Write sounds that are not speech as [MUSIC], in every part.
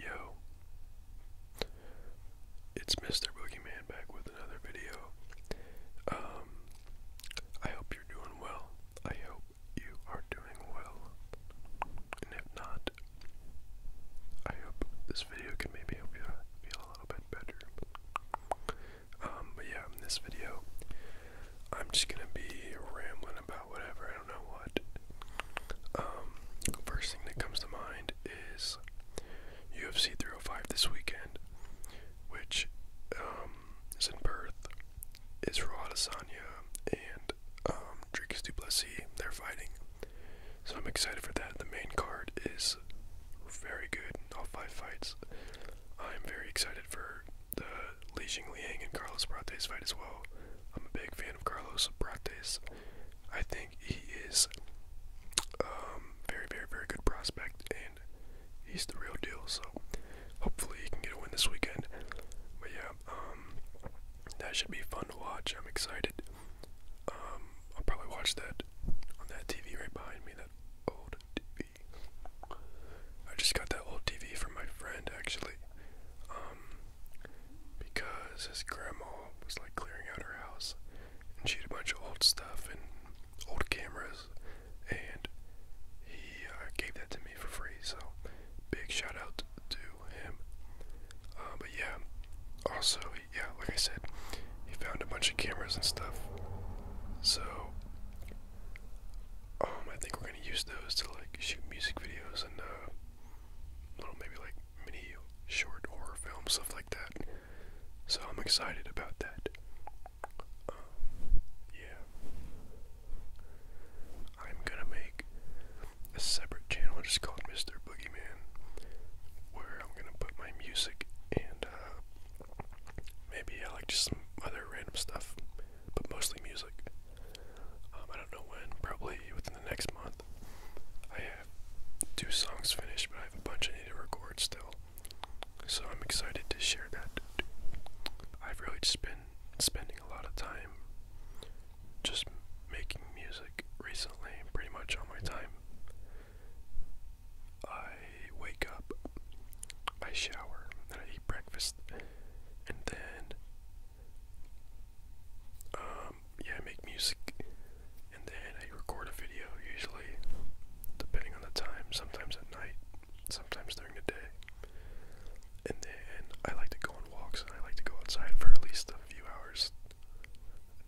Yo, it's Mr. Boogeyman back with another video. Um, I hope you're doing well. I hope you are doing well. And if not, I hope this video can maybe help you feel a little bit better. Um, but yeah, in this video, I'm just gonna be rambling about whatever, I don't know what. Um, first thing that comes to mind is UFC 305 this weekend, which um, is in Perth. Israel Adesanya and um, Dricus Duplessis, they're fighting. So I'm excited for that. The main card is very good all five fights. I'm very excited for the Li Liang and Carlos Brates fight as well. I'm a big fan of Carlos Brates. I think he is um, very, very, very good prospect, and he's the real deal. So hopefully he can get a win this weekend. But yeah, um, that should be fun to watch. I'm excited. Um, I'll probably watch that on that TV right behind me, that old TV. I just got that old TV from my friend actually. Um, because his grandma was like clearing out her house and she had a bunch of old stuff and old cameras and he uh, gave that to me for free so big shout out to him uh, but yeah also yeah like i said he found a bunch of cameras and stuff. So, um, I think we're gonna use those to like shoot music videos and uh, little maybe like mini short horror film stuff like that. So I'm excited about that. Um, yeah, I'm gonna make a separate channel just called Mr. Boogeyman, where I'm gonna put my music and uh, Maybe I like just some other random stuff, but mostly music. Um, I don't know when, probably within the next month. I have two songs finished, but I have a bunch I need to record still. So I'm excited to share that. I've really just been spending a lot of time just making music recently, pretty much all my time. I wake up, I shower, then I eat breakfast, and then um yeah, I make music and then I record a video usually depending on the time, sometimes at night, sometimes during the day. And then I like to go on walks and I like to go outside for at least a few hours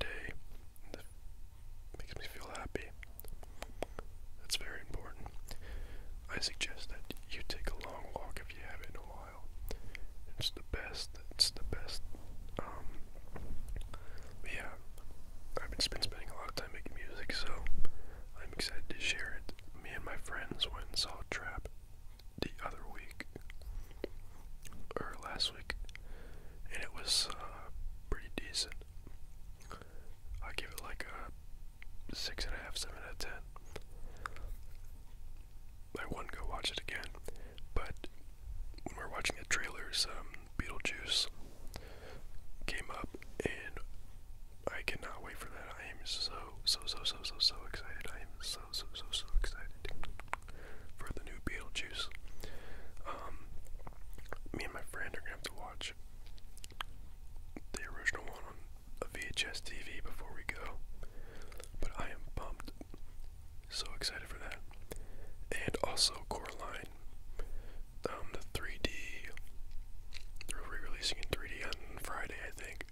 a day. That makes me feel happy. That's very important. I suggest that you take a long walk if you haven't in a while. It's the best. It's the best. Um, yeah, I've been spending a lot of time making music, so I'm excited to share it. Me and my friends went and saw Trap the other week, or last week, and it was uh, pretty decent. I give it like a six and a half, seven out of ten. I wouldn't go watch it again, but when we are watching the trailers, um, Beetlejuice came up, and I cannot wait for that. I am so, so, so, so, so, so excited. I am so, so, so, so excited for the new Beetlejuice. Um, me and my friend are gonna have to watch the original one on a VHS TV before we go. But I am pumped. So excited for that. And also Coraline. Um, the 3D. They're re releasing in 3D on Friday, I think.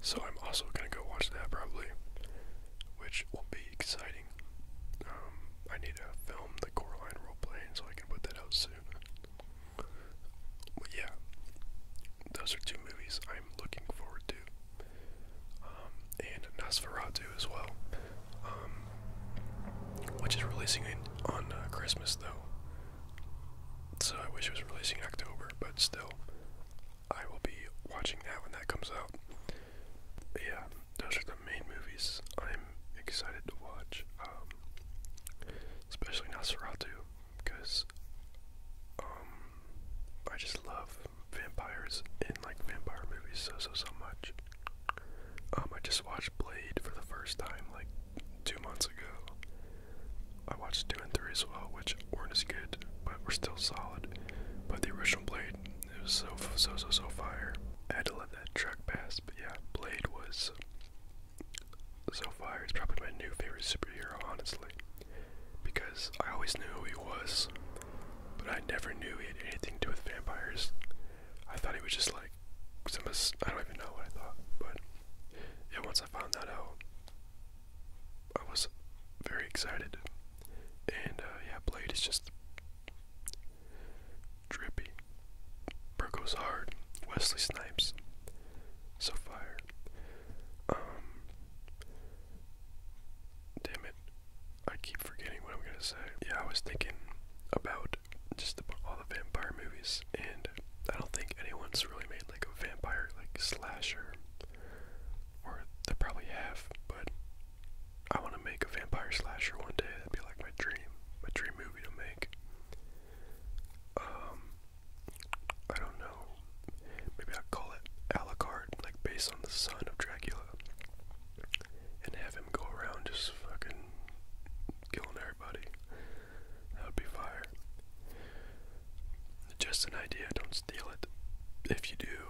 So I'm also going to go watch that probably. Which will be exciting. Um, I need to film the Coraline roleplaying so I can put that out soon. But yeah, those are two movies I'm looking forward to. Um, and Nosferatu as well, um, which is releasing on uh, Christmas though. So I wish it was releasing in October, but still, I will be watching that when that comes out. yeah, those are the main movies I'm excited to watch. Um, especially Nosferatu, because um, I just love vampires and like vampire movies so so so much. Um, I just watched Blade for the first time like two months ago. I watched two and three as well, which weren't as good, but were still solid. But the original Blade, it was so so so so fire. I had to let truck passed, but yeah, Blade was so far he's probably my new favorite superhero, honestly, because I always knew who he was, but I never knew he had anything to do with vampires. I thought he was just like some. I don't even know what I thought, but yeah, once I found that out, I was very excited, and uh, yeah, Blade is just Drippy, Burgos Hard, Wesley Snipes, So Fire. Um, damn it, I keep forgetting what I'm gonna say. Yeah, I was thinking about just the, all the vampire movies, and I don't think anyone's really made like a vampire like slasher, or they probably have, but I want to make a vampire slasher one day. That'd be like my dream, my dream movie to make. Um, I don't know. Maybe I'll call it a la carte, like based on the son of Dracula, and have him go around just fucking killing everybody. That would be fire. Just an idea. Don't steal it. If you do,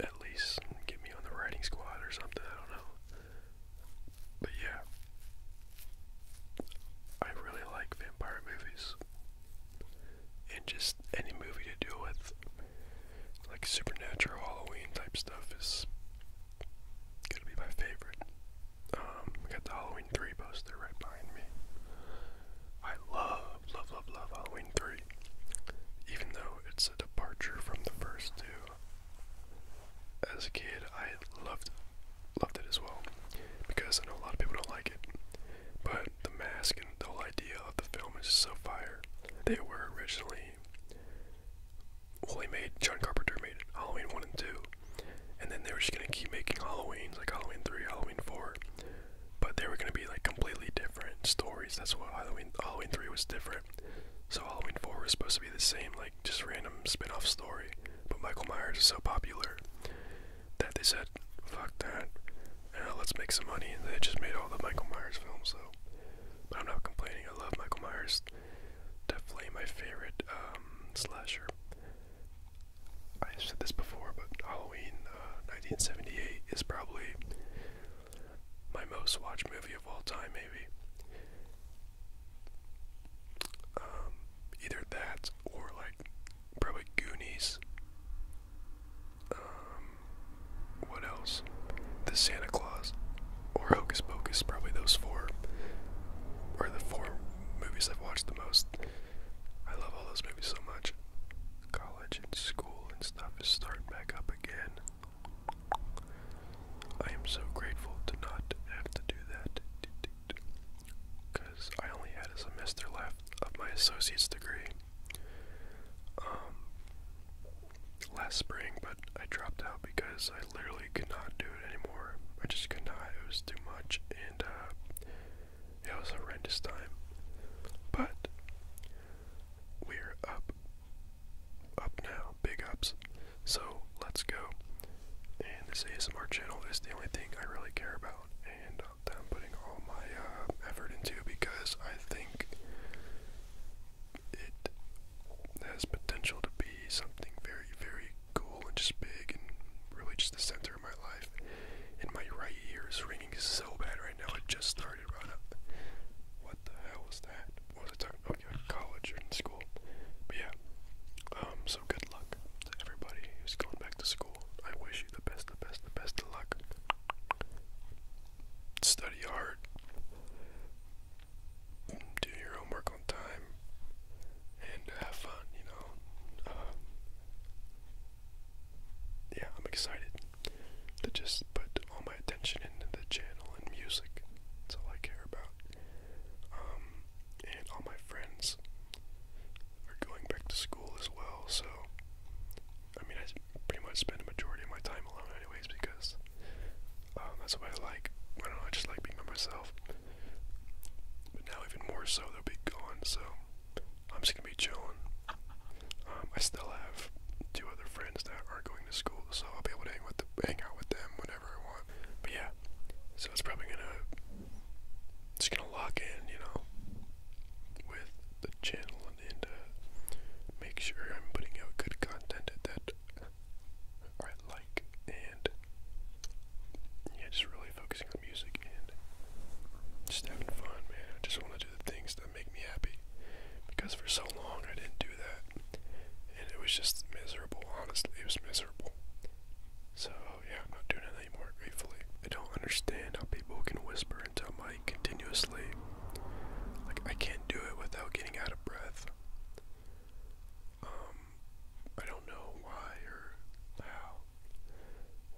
at least get me on the writing squad or something. I don't know. But yeah, I really like vampire movies. And just any movie to deal with, like supernatural Halloween type stuff, is gonna be my favorite. Um, got the Halloween 3 poster right behind me. I love, love, love, love Halloween 3. Even though it's a departure from the first two, as a kid, I loved loved it as well because I know a lot of people don't like it, but the mask and the whole idea of the film is so fire. They were originally well, made John Carpenter made Halloween one and two, and then they were just gonna keep making Halloweens like Halloween three, Halloween four, but they were gonna be like completely different stories. That's what Halloween Halloween three was different. So Halloween 4 was supposed to be the same, like just random spin-off story. But Michael Myers is so popular that they said, fuck that, uh, let's make some money. And they just made all the Michael Myers films, so I'm not complaining. I love Michael Myers. Definitely my favorite um, slasher. I've said this before, but Halloween 1978 uh, is probably my most watched movie of all time, maybe. Um, either that or like probably Goonies. Um, what else? The Santa Claus or Hocus Pocus. Probably those four are the four movies I've watched the most. I love all those movies so much. College and school and stuff is starting back up again. I am so grateful to not have to do that because I only had a semester left of my associate's degree um, last spring, but I dropped out because I literally could not do it anymore. I just could not, it was too much, and uh, it was a horrendous time. But we're up up now. Big ups. So let's go. And this ASMR channel is the only thing I really care about and uh, that I'm putting all my uh, effort into because I think it has potential to be something very, very cool and just big and really just the center of my life. And my right ear is ringing so bad right now. It just started right up what the hell was that? was I talking about? college or in school. But yeah. Um, so good luck to everybody who's going back to school. I wish you the best, the best, the best of luck. Study hard. Do your homework on time. And have fun, you know. Um, yeah, I'm excited to just put all my attention into the channel and music. That's all I care about. Um, and all my friends are going back to school as well, so I mean, I pretty much spend a majority of my time alone, anyways, because um, that's why I like. I don't know, I just like being by myself. But now, even more so, they'll be gone, so I'm just gonna be chilling. Um, I still have two other friends that are going to school, so I'll be able to hang with the, hang out with them whenever I want. But yeah, so it's probably gonna just gonna lock in, you know, with the channel and, and uh, make sure I'm putting out good content that I like, and yeah, just really focusing on music and just having fun, man. I just want to do the things that make me happy because for so long I didn't do that. And it was just miserable, honestly. It was miserable. So, yeah, I'm not doing it anymore, gratefully. I don't understand how people can whisper into my continuously. Like, I can't do it without getting out of breath. Um, I don't know why or how.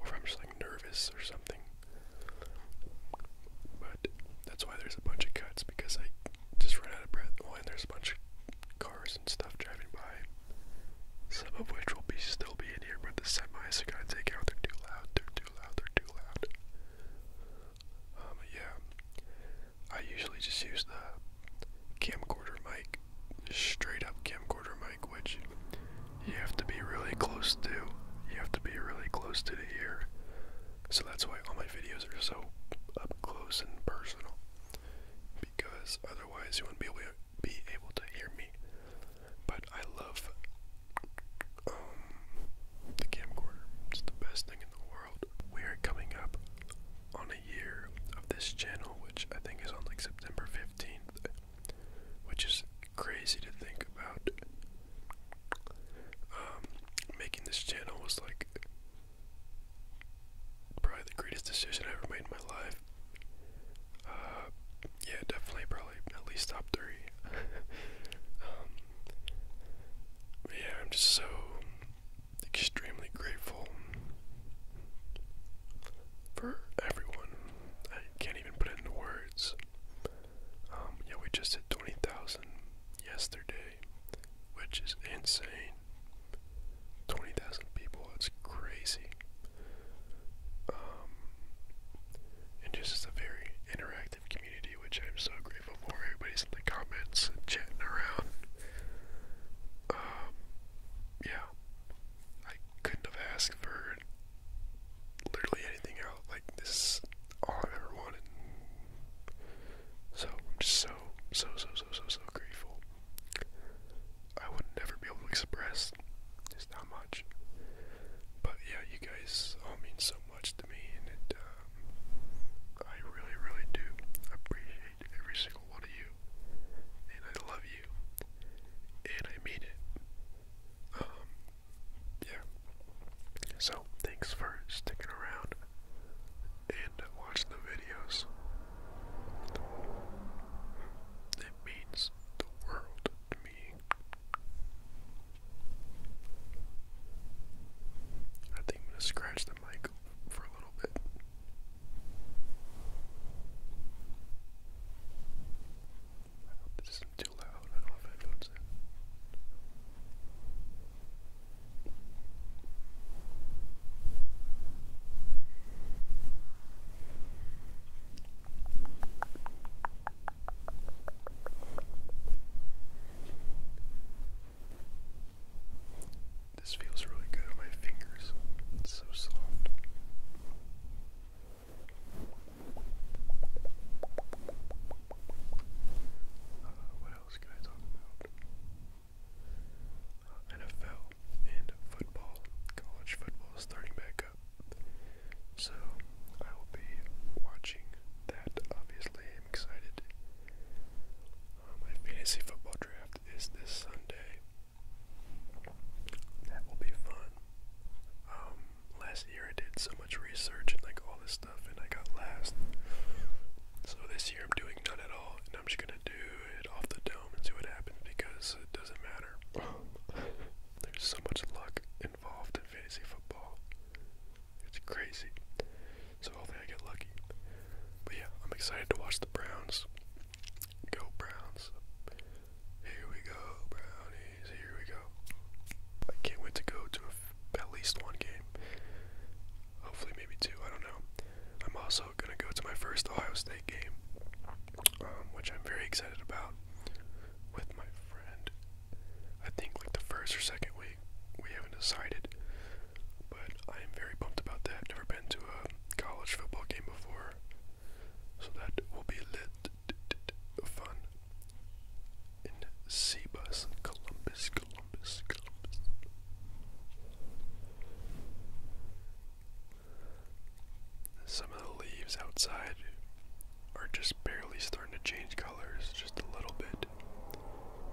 Or if I'm just like nervous or something. But that's why there's a bunch of cuts because I just ran out of breath. Oh, and there's a bunch of cars and stuff driving by, some of which will be still be in here, but the semis are gonna take out. They're too loud. They're too loud. They're too loud. Um, yeah, I usually just use the camcorder mic, straight up camcorder mic, which you have to be really close to. You have to be really close to the ear so that's why all my videos are so up close and personal. Because otherwise you wouldn't be able to, be able to hear me. But I love um, the camcorder. It's the best thing in the world. We are coming up on a year of this channel, which I think is on like September 15th, which is crazy to think about. Um, making this channel was like probably the greatest decision I ever made in my life. Uh, yeah, definitely, probably at least top three. [LAUGHS] Um, yeah, I'm just so extremely grateful for everyone. I can't even put it into words. Um, yeah, we just hit 20,000 yesterday, which is insane. 20,000 people, it's crazy. Um, and just it's a very interactive community, which I'm so grateful for. Everybody's in the comments and chatting around. Um, yeah, I couldn't have asked for literally anything else. Like, this all i ever wanted. So I'm just so, so, so, so, so, so grateful. I would never be able to express just how much. But yeah, you guys all mean so much to me, and it, um, I really, really do appreciate every single one of you. And I love you. And I mean it. Um, yeah. So, thanks for sticking around and watch the videos. It means the world to me. I think I'm going to scratch the mic for a little bit. this isn't too loud. I don't know if anyone's this feels really good on my fingers. It's so soft. Uh, else can I talk about? Uh, NFL and football. College football starting back up. So I will be watching that. Obviously, am excited. Uh, my fantasy football draft is this Sunday. That will be fun. Um, last year I did some much research and like all this stuff, and I got last. So this year I'm doing none at all, and I'm just gonna do it off the dome and see what happens because it doesn't matter. [LAUGHS] There's so much luck involved in fantasy football. It's crazy. So hopefully I get lucky. But yeah, I'm excited to watch the Browns. Go Browns. Here we go, Brownies. Here we go. I can't wait to go to at least one game. Hopefully, maybe two. I don't know. I'm also gonna go to my first Ohio State game, um, which I'm very excited about. With my friend, I think like the first or second week, we haven't decided, but I am very pumped about that. Never been to a college football game before, so that will be lit, fun and Seabus, Columbus, Columbus, Columbus. Some of the leaves outside are just barely starting to change colors, just a little bit.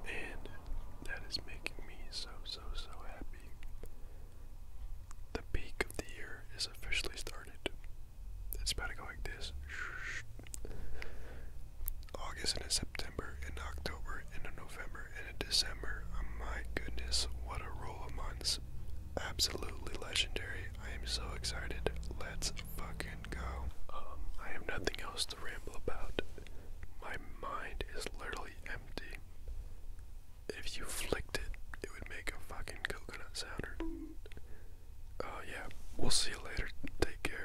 And that is making me so, so, so happy. The peak of the year is officially started. It's about to go like this August and September in October, and a November, and a December. Oh, my goodness, what a roll of months! Absolutely legendary. I am so excited. Let's fucking go. Um, I have nothing else to ramble about. My mind is literally empty. If you flicked it, it would make a fucking coconut sounder. Oh, yeah. We'll see you later. Take care.